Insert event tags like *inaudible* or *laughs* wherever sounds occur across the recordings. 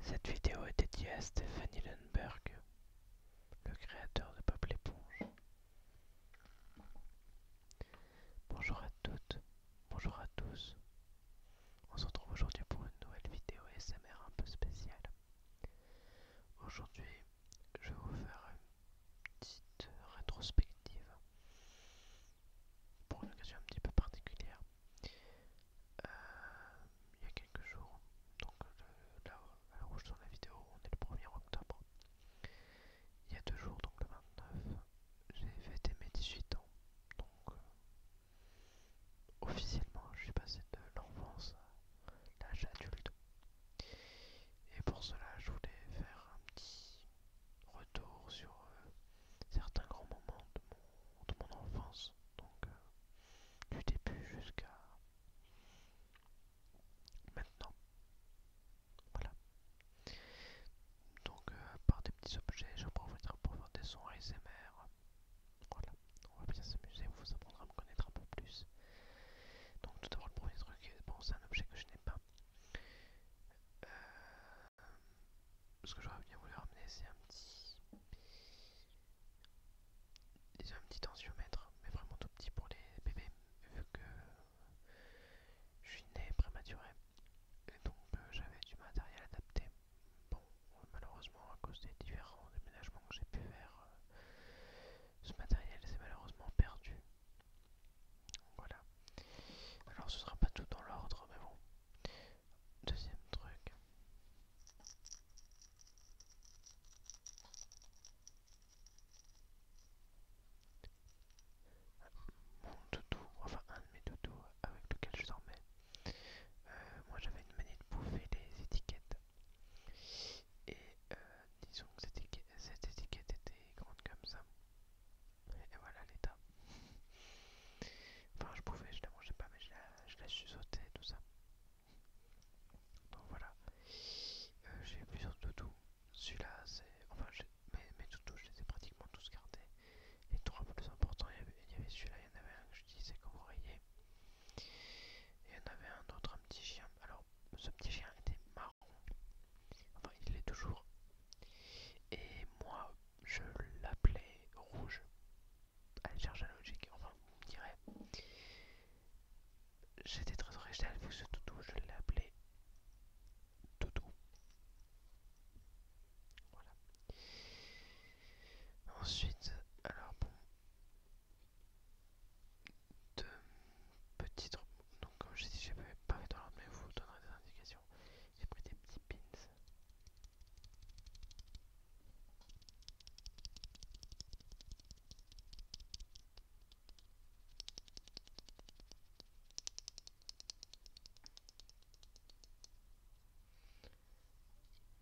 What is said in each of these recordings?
Cette vidéo est dédiée à Stéphanie Lundberg, le créateur de POP l'éponge. Bonjour à toutes, bonjour à tous. On se retrouve aujourd'hui pour une nouvelle vidéo SMR un peu spéciale. Aujourd'hui, je vais vous faire une petite rétrospective pour une occasion un petit peu particulière. Euh, il y a quelques jours. Donc euh, là, où je tourne la vidéo, on est le 1er octobre. Il y a deux jours, donc le 29, j'ai fêté mes 18 ans. Donc euh, officiellement, je suis passé de l'enfance à l'âge adulte. Et pour cela, je voulais faire un petit retour sur certains grands moments de de mon enfance, donc euh, du début jusqu'à maintenant. Voilà. Donc, euh, à part des petits objets, je profiterai pour faire des sons ASMR. Voilà, on va bien s'amuser, vous apprendrez à me connaître un peu plus. Donc, tout d'abord, le premier truc, c'est un objet que je n'ai pas. Euh, ce que j'aurais bien voulu ramener, c'est un petit. des un petit tensiomètre, mais vraiment tout petit pour les bébés, vu que je suis né prématuré. Et donc euh, j'avais du matériel adapté. Bon, malheureusement, à cause des différents déménagements que j'ai pu faire, euh, ce matériel s'est malheureusement perdu. Voilà. Alors ce sera pas tout dans l'ordre, mais bon. Deuxième truc. Mon doudou, enfin un de mes doudous avec lequel je dormais. Euh, moi j'avais une manie de bouffer les étiquettes. Et euh, disons que cette étiquette était grande comme ça. Et voilà l'état. Enfin, je pouvais, je la mangeais pas, mais je la, je et tout ça. Donc voilà. Euh, j'ai eu plusieurs toutous. Celui-là, c'est. Enfin, mes, mes je les ai pratiquement tous gardés. Les trois plus importants, il y avait, celui-là, il y en avait un que j'utilisais comme oreiller. Et il y en avait un autre, un petit chien. Alors, ce petit chien était marron. Enfin, il l'est toujours. Et moi, je l'appelais rouge. à logique, enfin, on dirait. J'étais très original avec ce toutou, je l'appelais toutou. Ensuite, alors bon, deux petites. Donc, comme j'ai dit, je pas fait dans l'ordre, mais vous donnerez des indications j'ai pris des petits pins.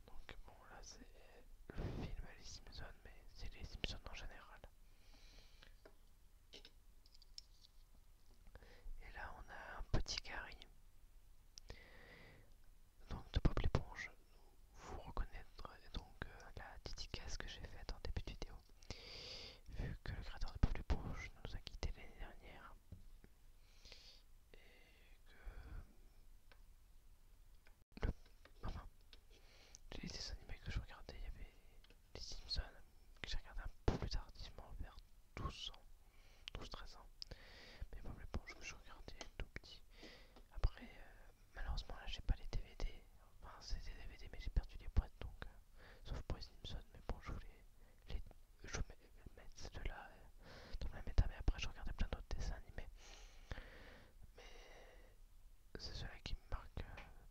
Donc bon là c'est le film Les Simpsons mais c'est les Simpsons en général. Et là, on a un petit carré. Donc de Bob l'éponge, vous reconnaîtrez donc euh, la case que j'ai faite en début de vidéo. Vu que le créateur de Bob l'éponge nous a quittés l'année dernière. Et que... Le... j'ai les dessins animés que je regardais, il y avait les Simpsons, que j'ai regardé un peu plus tardivement vers 12 ans. 12-13 ans. Mais bon, je regardais tout petit. Après, euh, malheureusement, là, j'ai pas les DVD. Enfin, c'est des DVD, mais j'ai perdu les boîtes, donc. Euh, sauf pour les Simpsons, mais bon, je voulais les, mettre là euh, dans la méta, mais après, je regardais plein d'autres dessins animés. Mais c'est cela qui me marque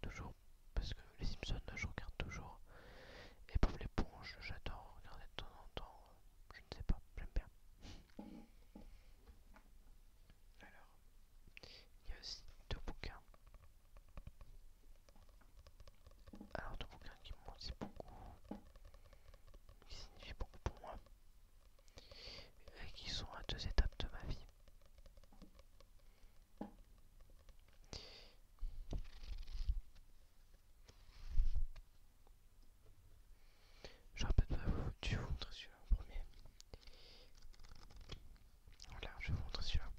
toujours, parce que les Simpsons, je regarde toujours. Et pour l'éponge, j'adore regarder de temps en temps. Euh, je ne sais pas, j'aime bien. Alors, il y a aussi deux bouquins. Alors deux bouquins qui m'ont dit beaucoup, qui signifient beaucoup pour moi, et qui sont à deux étapes de ma vie. Je rappelle pas, je vous montrer celui-là en premier. Voilà, je vais vous montrer celui-là.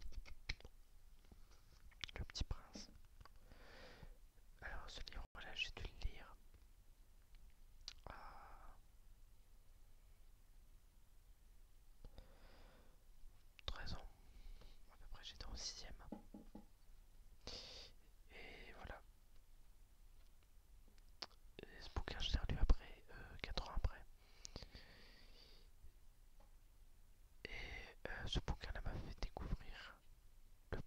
Le petit prince. Alors ce livre, voilà, j'ai dû le lire. 13 ans. Après peu près j'étais en sixième. Et voilà. ce bouquin, je l'ai relu après, euh, 4 ans après. Et euh, ce bouquin-là m'a fait découvrir le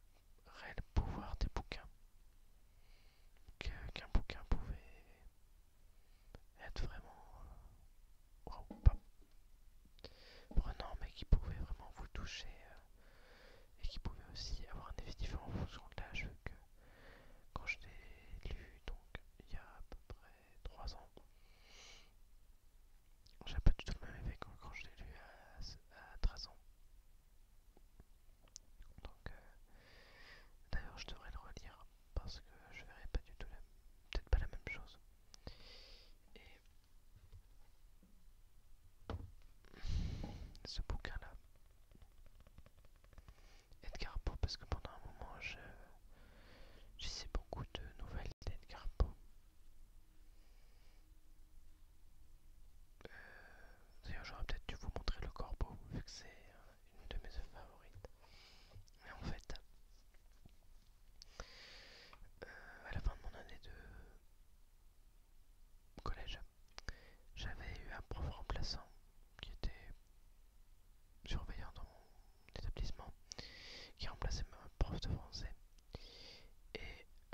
réel pouvoir des bouquins. Qu'un bouquin pouvait être vraiment. Euh, prenant mais qui pouvait vraiment vous toucher euh, et qui pouvait aussi avoir un effet différent en fonction de l'âge que quand je l'ai lu donc il y a à peu près 3 ans j'ai pas du tout le même effet que quand je l'ai lu à, 13 ans donc euh, d'ailleurs je devrais le relire parce que je verrais pas du tout la peut-être pas la même chose et ce bouquin-là. Edgar Poe, parce que pendant un moment, je, je beaucoup de nouvelles d'Edgar Poe. Euh, d'ailleurs, j'aurais peut-être dû vous montrer le corbeau, vu que c'est euh, une de mes œuvres favorites. Mais en fait, euh, à la fin de mon année de collège, j'avais eu un prof remplaçant qui était surveillant dans mon établissement, qui remplaçait un prof de français. Et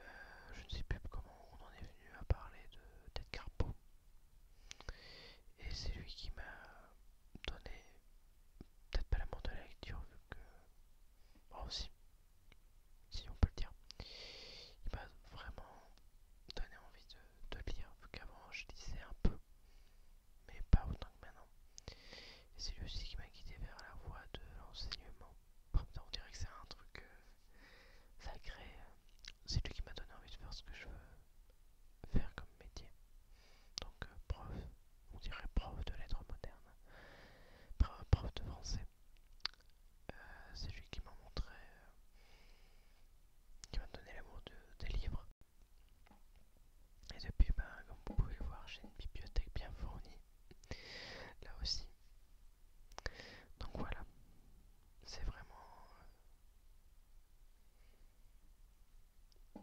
euh, je ne sais plus comment on en est venu à parler de Ted Carpo. Et c'est lui qui m'a donné peut-être pas l'amour de la lecture vu que bon si si on peut le dire il m'a vraiment donné envie de, lire vu qu'avant je lisais un peu mais pas autant que maintenant c'est lui aussi qui m'a guidé vers la voie de l'enseignement on dirait que c'est un truc euh, sacré c'est lui qui m'a donné envie de faire ce que je veux faire comme métier donc euh, prof on dirait prof de lettres modernes, prof de français. Euh, c'est lui qui m'a montré, euh, qui m'a donné l'amour des livres. Et depuis, ben, comme vous pouvez le voir, j'ai une bibliothèque bien fournie, là aussi. Donc voilà, c'est vraiment euh,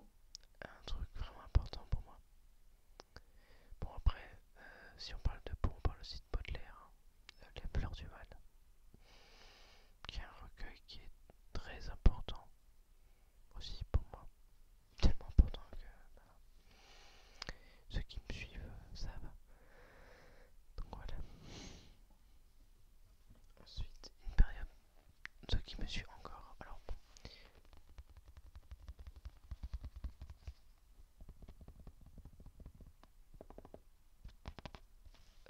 un truc vraiment important pour moi. Bon après, euh, si on parle de peau, on parle aussi de Baudelaire, la hein. euh, Les du Mal, qui est un recueil qui est très important aussi pour moi, tellement important que bah, ceux qui me suivent euh, savent. Donc voilà. Ensuite, une période, ceux qui me suivent encore,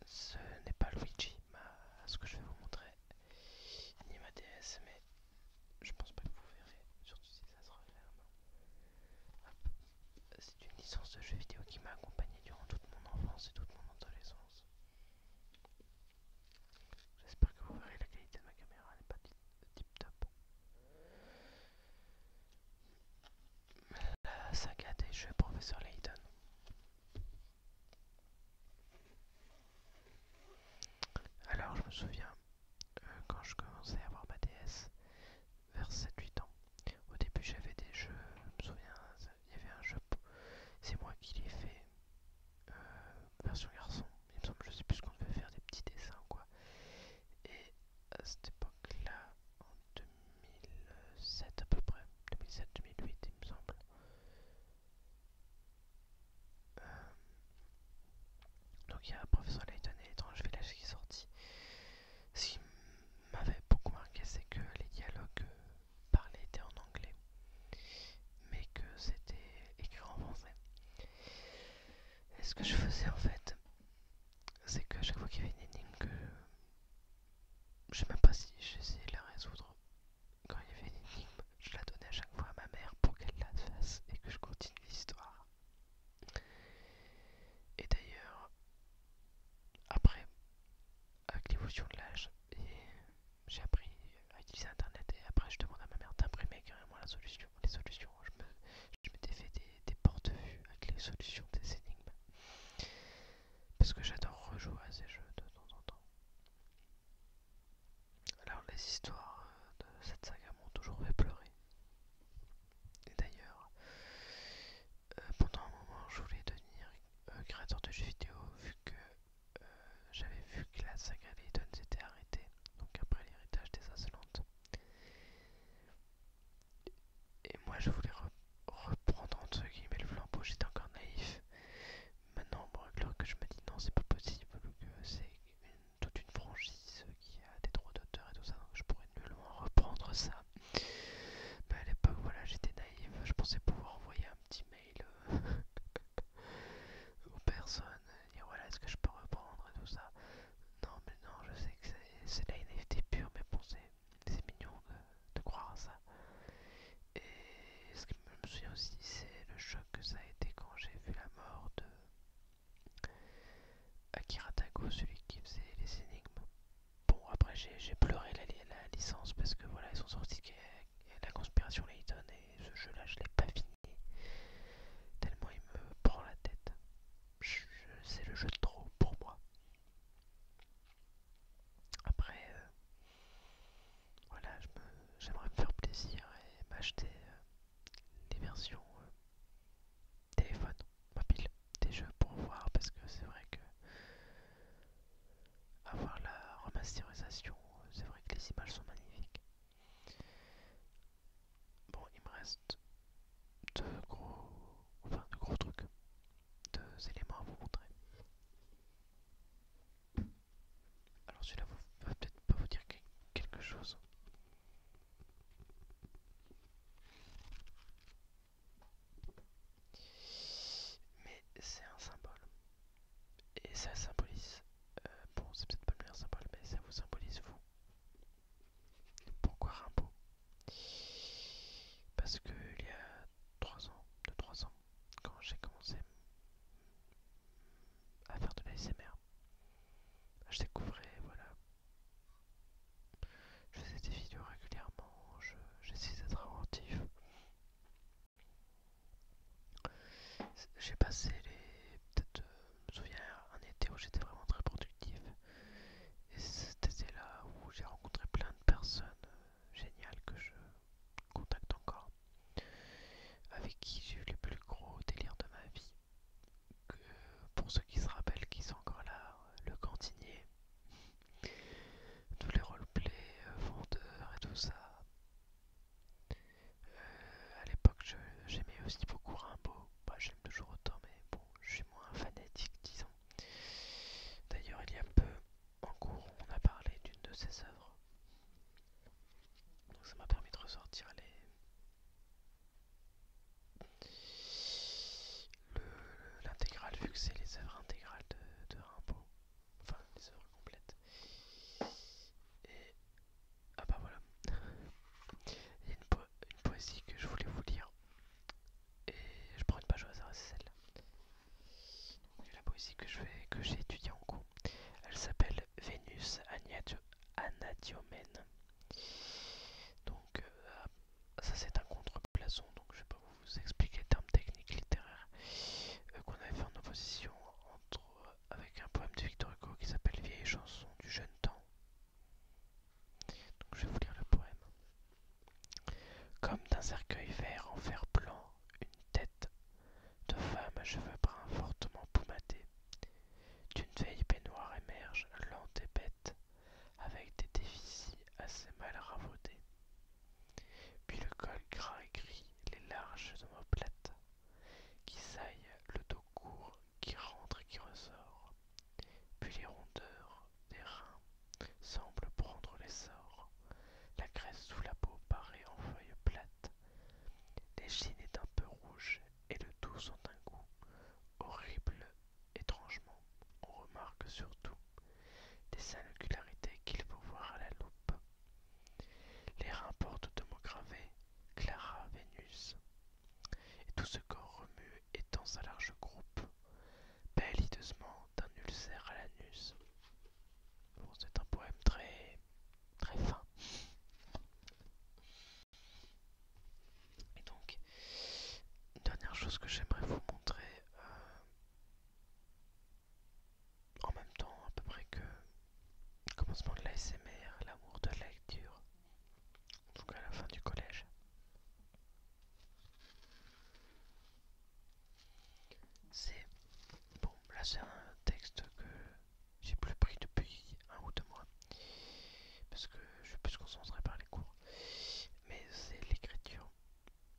ce n'est pas Luigi, ce que je vais vous montrer, ni ma DS, mais je pense pas que vous verrez, surtout si ça se referme. C'est une licence de jeu vidéo qui m'a accompagné durant toute mon enfance et toute mon adolescence. J'espère que vous verrez la qualité de ma caméra elle n'est pas tip top. La saga des jeux Professeur Layton. Alors je me souviens euh, quand je commençais à avoir ma DS vers 7-8 ans. Au début j'avais des jeux, je me souviens, il y avait un jeu, c'est moi qui l'ai fait, euh, version garçon, il me semble, je sais plus ce qu'on devait faire des petits dessins ou quoi. Et à cette époque-là, en 2007 à peu près, 2007-2008 il me semble, euh, donc il y a Professeur Layton et l'étrange village qui est sorti. Ce qui m'avait beaucoup marqué, c'est que les dialogues parlés étaient en anglais, mais que c'était écrit en français. Et ce que je faisais en fait, c'est que chaque fois qu'il y avait une énigme que je sais même pas si j'essayais de la résoudre, quand il y avait une énigme, je la donnais à chaque fois à ma mère pour qu'elle la fasse et que je continue l'histoire. Et d'ailleurs, après, avec l'évolution de l'âge, j'ai appris à utiliser Internet et après je demande à ma mère d'imprimer carrément la solution les solutions. Je, me, défais des, porte portes avec les solutions des énigmes. Parce que j'adore rejouer à ces jeux de temps en temps. Alors les histoires euh, de cette saga m'ont toujours fait pleurer. Et d'ailleurs, euh, pendant un moment, je voulais devenir euh, créateur de jeux vidéo vu que euh, j'avais vu que la saga s'était arrêtée, donc après l'héritage des insolentes. Et moi je voulais reprendre entre guillemets le flambeau, j'étais encore naïf. Maintenant, bon, alors que je me dis non, c'est pas possible, c'est toute une franchise qui a des droits d'auteur et tout ça, donc je pourrais nullement reprendre ça. Mais à l'époque, voilà, j'étais naïf, je pensais pouvoir envoyer un petit mail euh, *laughs* aux personnes dire voilà est-ce que je peux reprendre tout ça. Non mais non je sais que c'est la NFT pure mais bon c'est mignon de, croire à ça. Et ce qui je me souvient aussi c'est le choc que ça a été quand j'ai vu la mort de Akira Tago, celui qui faisait les énigmes. Bon après j'ai pleuré la, licence parce que voilà ils sont sortis la conspiration les et ce jeu-là, je l'ai pas fini. Tellement il me prend la tête. C'est le jeu de trop pour moi. Après, euh, voilà, j'aimerais me, faire plaisir et m'acheter euh, des versions euh, téléphone, mobile, des jeux pour voir parce que c'est vrai que avoir la remasterisation, c'est vrai que les images sont magnifiques. Bon, il me reste deux gros, enfin deux gros trucs, deux éléments à vous montrer. Alors celui-là va peut-être pas vous dire quelque chose. Mais c'est un symbole. Et ça symbolise, euh, bon c'est peut-être pas le meilleur symbole, mais ça vous symbolise vous. Pourquoi Rimbaud Parce que il y a 3 ans, 2-3 ans, quand j'ai commencé à faire de l'ASMR, je découvrais, voilà, je faisais des vidéos régulièrement, j'essayais d'être inventif, j'ai passé les. Peut-être, euh, je me souviens, un été où j'étais vraiment très productif. Et c'était là où j'ai rencontré plein de personnes euh, géniales que je contacte encore, avec qui j'ai eu les plus gros délires de ma vie. Que, pour ceux qui se rappellent, qui sont encore là, euh, le cantinier, tous les roleplays, vendeurs et tout ça. Euh, à l'époque, j'aimais aussi beaucoup Rimbaud. Bah, j'aime toujours autant, mais bon, je suis moins fanatique, disons. D'ailleurs, il y a peu, en cours, on a parlé d'une de ses œuvres. Donc, ça m'a permis de ressortir les. L'intégrale, vu que c'est les œuvres intégrales de, de Rimbaud, enfin les œuvres complètes. Et ah bah voilà. Il y a une, poésie que je voulais vous lire. Et je prends une page au hasard, c'est celle La poésie que j'ai que étudiée en cours. Elle s'appelle Vénus Anadiomène. Donc euh, ça c'est un contreplaçon, donc je ne vais pas vous expliquer les terme techniques littéraire euh, qu'on avait fait en opposition entre euh, avec un poème de Victor Hugo qui s'appelle Vieilles chansons du jeune temps. Donc je vais vous lire le poème. Comme d'un cercueil vert en fer blanc, une tête de femme à cheveux bruns fortement poumadés, d'une vieille baignoire émerge, lente et bête, avec des déficits assez mal ravaudés. Puis le col gras et gris, les larges omoplates, qui saille le dos court, qui rentre et qui ressort. Puis les rondeurs des reins semblent prendre l'essor, la graisse sous la peau paraît en feuilles plates. L'échine est un peu rouge et le tout sent un goût horrible. Étrangement, on remarque surtout des singularités qu'il faut voir à la loupe. Les reins portent deux mots gravés, Clara Vénus, et tout ce corps remue dans sa large belle hideusement d'un ulcère à l'anus. c'est un poème très, très fin. Et donc, une dernière chose que j'aimerais vous montrer, euh, en même temps à peu près que le commencement de l'ASMR, l'amour de la lecture, en tout cas à la fin du collège. C'est bon, là c'est un texte que j'ai plus pris depuis un ou deux mois parce que je suis plus concentré par les cours, mais c'est l'écriture.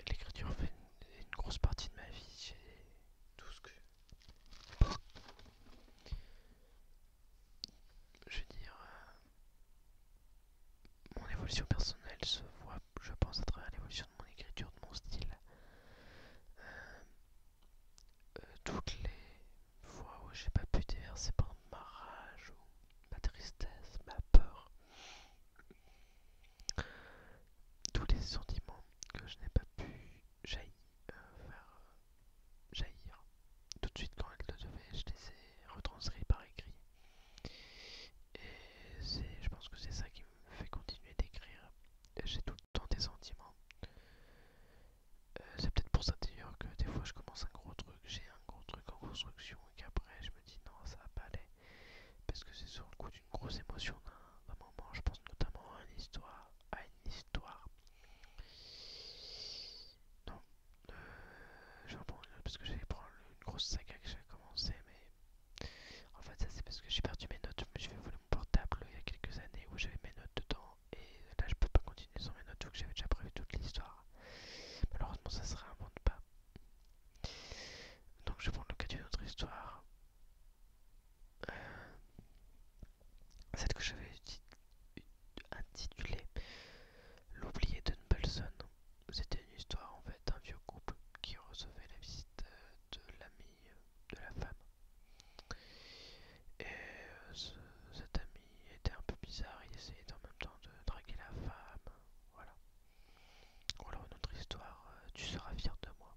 L'écriture fait une, grosse partie de ma vie. J'ai tout ce que je veux dire, euh, mon évolution personnelle se voit, je pense, à travers l'évolution de mon écriture, de mon style. Euh, euh, toutes les fois où j'ai pas pu déverser par ma rage ma tristesse, ma peur, tous les sentiments que je n'ai pas pu jaillir euh, faire euh, jaillir tout de suite quand elle le devait, Je les ai retranscrits par écrit. Et je pense que c'est ça qui me fait continuer d'écrire. J'ai tout le temps des sentiments. Euh, c'est peut-être pour ça d'ailleurs que des fois je commence un gros truc, j'ai un gros truc en construction et qu'après je me dis non ça va pas aller. Parce que c'est sur le coup une grosse émotion d'un moment. Je pense notamment à une histoire. À une histoire. Non, je vais prendre parce que j'allais prendre une grosse saga que j'avais commencé, mais en fait, ça c'est parce que j'ai perdu mes notes. Je vais voler mon portable il y a quelques années où j'avais mes notes dedans, et là je peux pas continuer sans mes notes donc que j'avais déjà prévu toute l'histoire. Malheureusement, ça se réinvente pas. Donc, je vais prendre le cas d'une autre histoire cette euh, celle que j'avais intitulée L'oublié de C'était une histoire en fait d'un vieux couple qui recevait la visite euh, de l'ami euh, de la femme. Et cet ami était un peu bizarre, il essayait en même temps de draguer la femme. Voilà. Ou alors une autre histoire, tu seras fier de moi.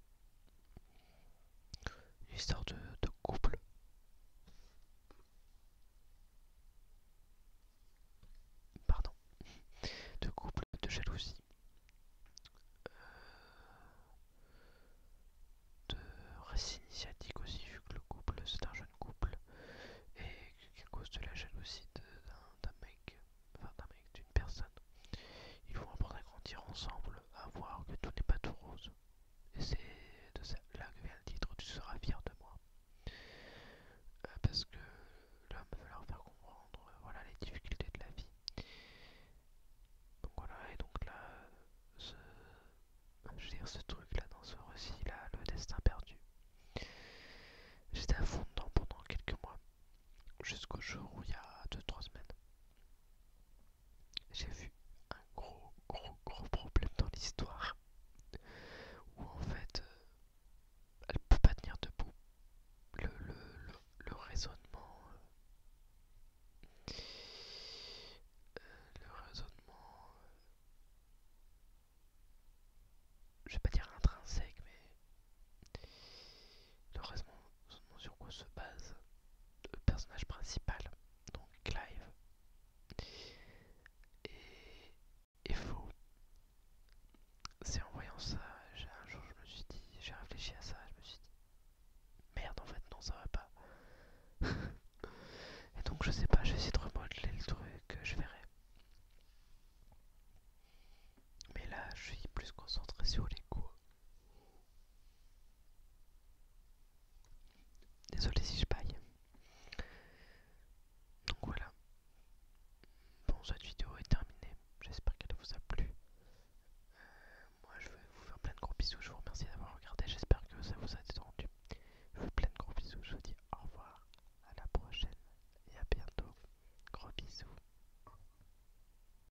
Une histoire de, couple. Pardon. De couple, de jalousie. Euh, de récit initiatique aussi, vu que le couple, c'est un jeune couple. Et qu'à cause de la jalousie d'un mec, enfin d'un mec, d'une personne, ils vont apprendre à grandir ensemble à voir que tout n'est pas tout rose. Et c'est de ça là que vient le titre Tu seras fier de moi. Euh, parce que l'homme veut leur faire comprendre euh, voilà, les difficultés de la vie. Donc voilà, et donc là, euh, ce, je veux dire, ce truc là, dans ce récit là, le destin perdu. J'étais à fond dedans pendant quelques mois, jusqu'au jour où il y a 2-3 semaines, j'ai vu un gros gros gros problème dans l'histoire où en fait elle euh, elle peut pas tenir debout le, le, le, raisonnement le raisonnement euh, euh, je vais pas dire intrinsèque mais le raisonnement sur quoi se base le personnage principal, donc Clive. Et, faux. C'est en voyant ça, un jour je me suis dit, j'ai réfléchi à ça, je me suis dit, merde en fait, non ça va pas. *laughs* et donc je sais pas, je vais essayer de remodeler le truc, je verrai. Mais là, je suis plus concentré sur les coups. Désolé si je baille Donc voilà. Bon, cette vidéo est terminée. J'espère qu'elle vous a plu. Euh, moi, je vais vous faire plein de gros bisous. Je vous remercie d'avoir regardé. J'espère que ça vous a rendu Je vous fais plein de gros bisous. Je vous dis au revoir. À la prochaine. Et à bientôt. Gros bisous.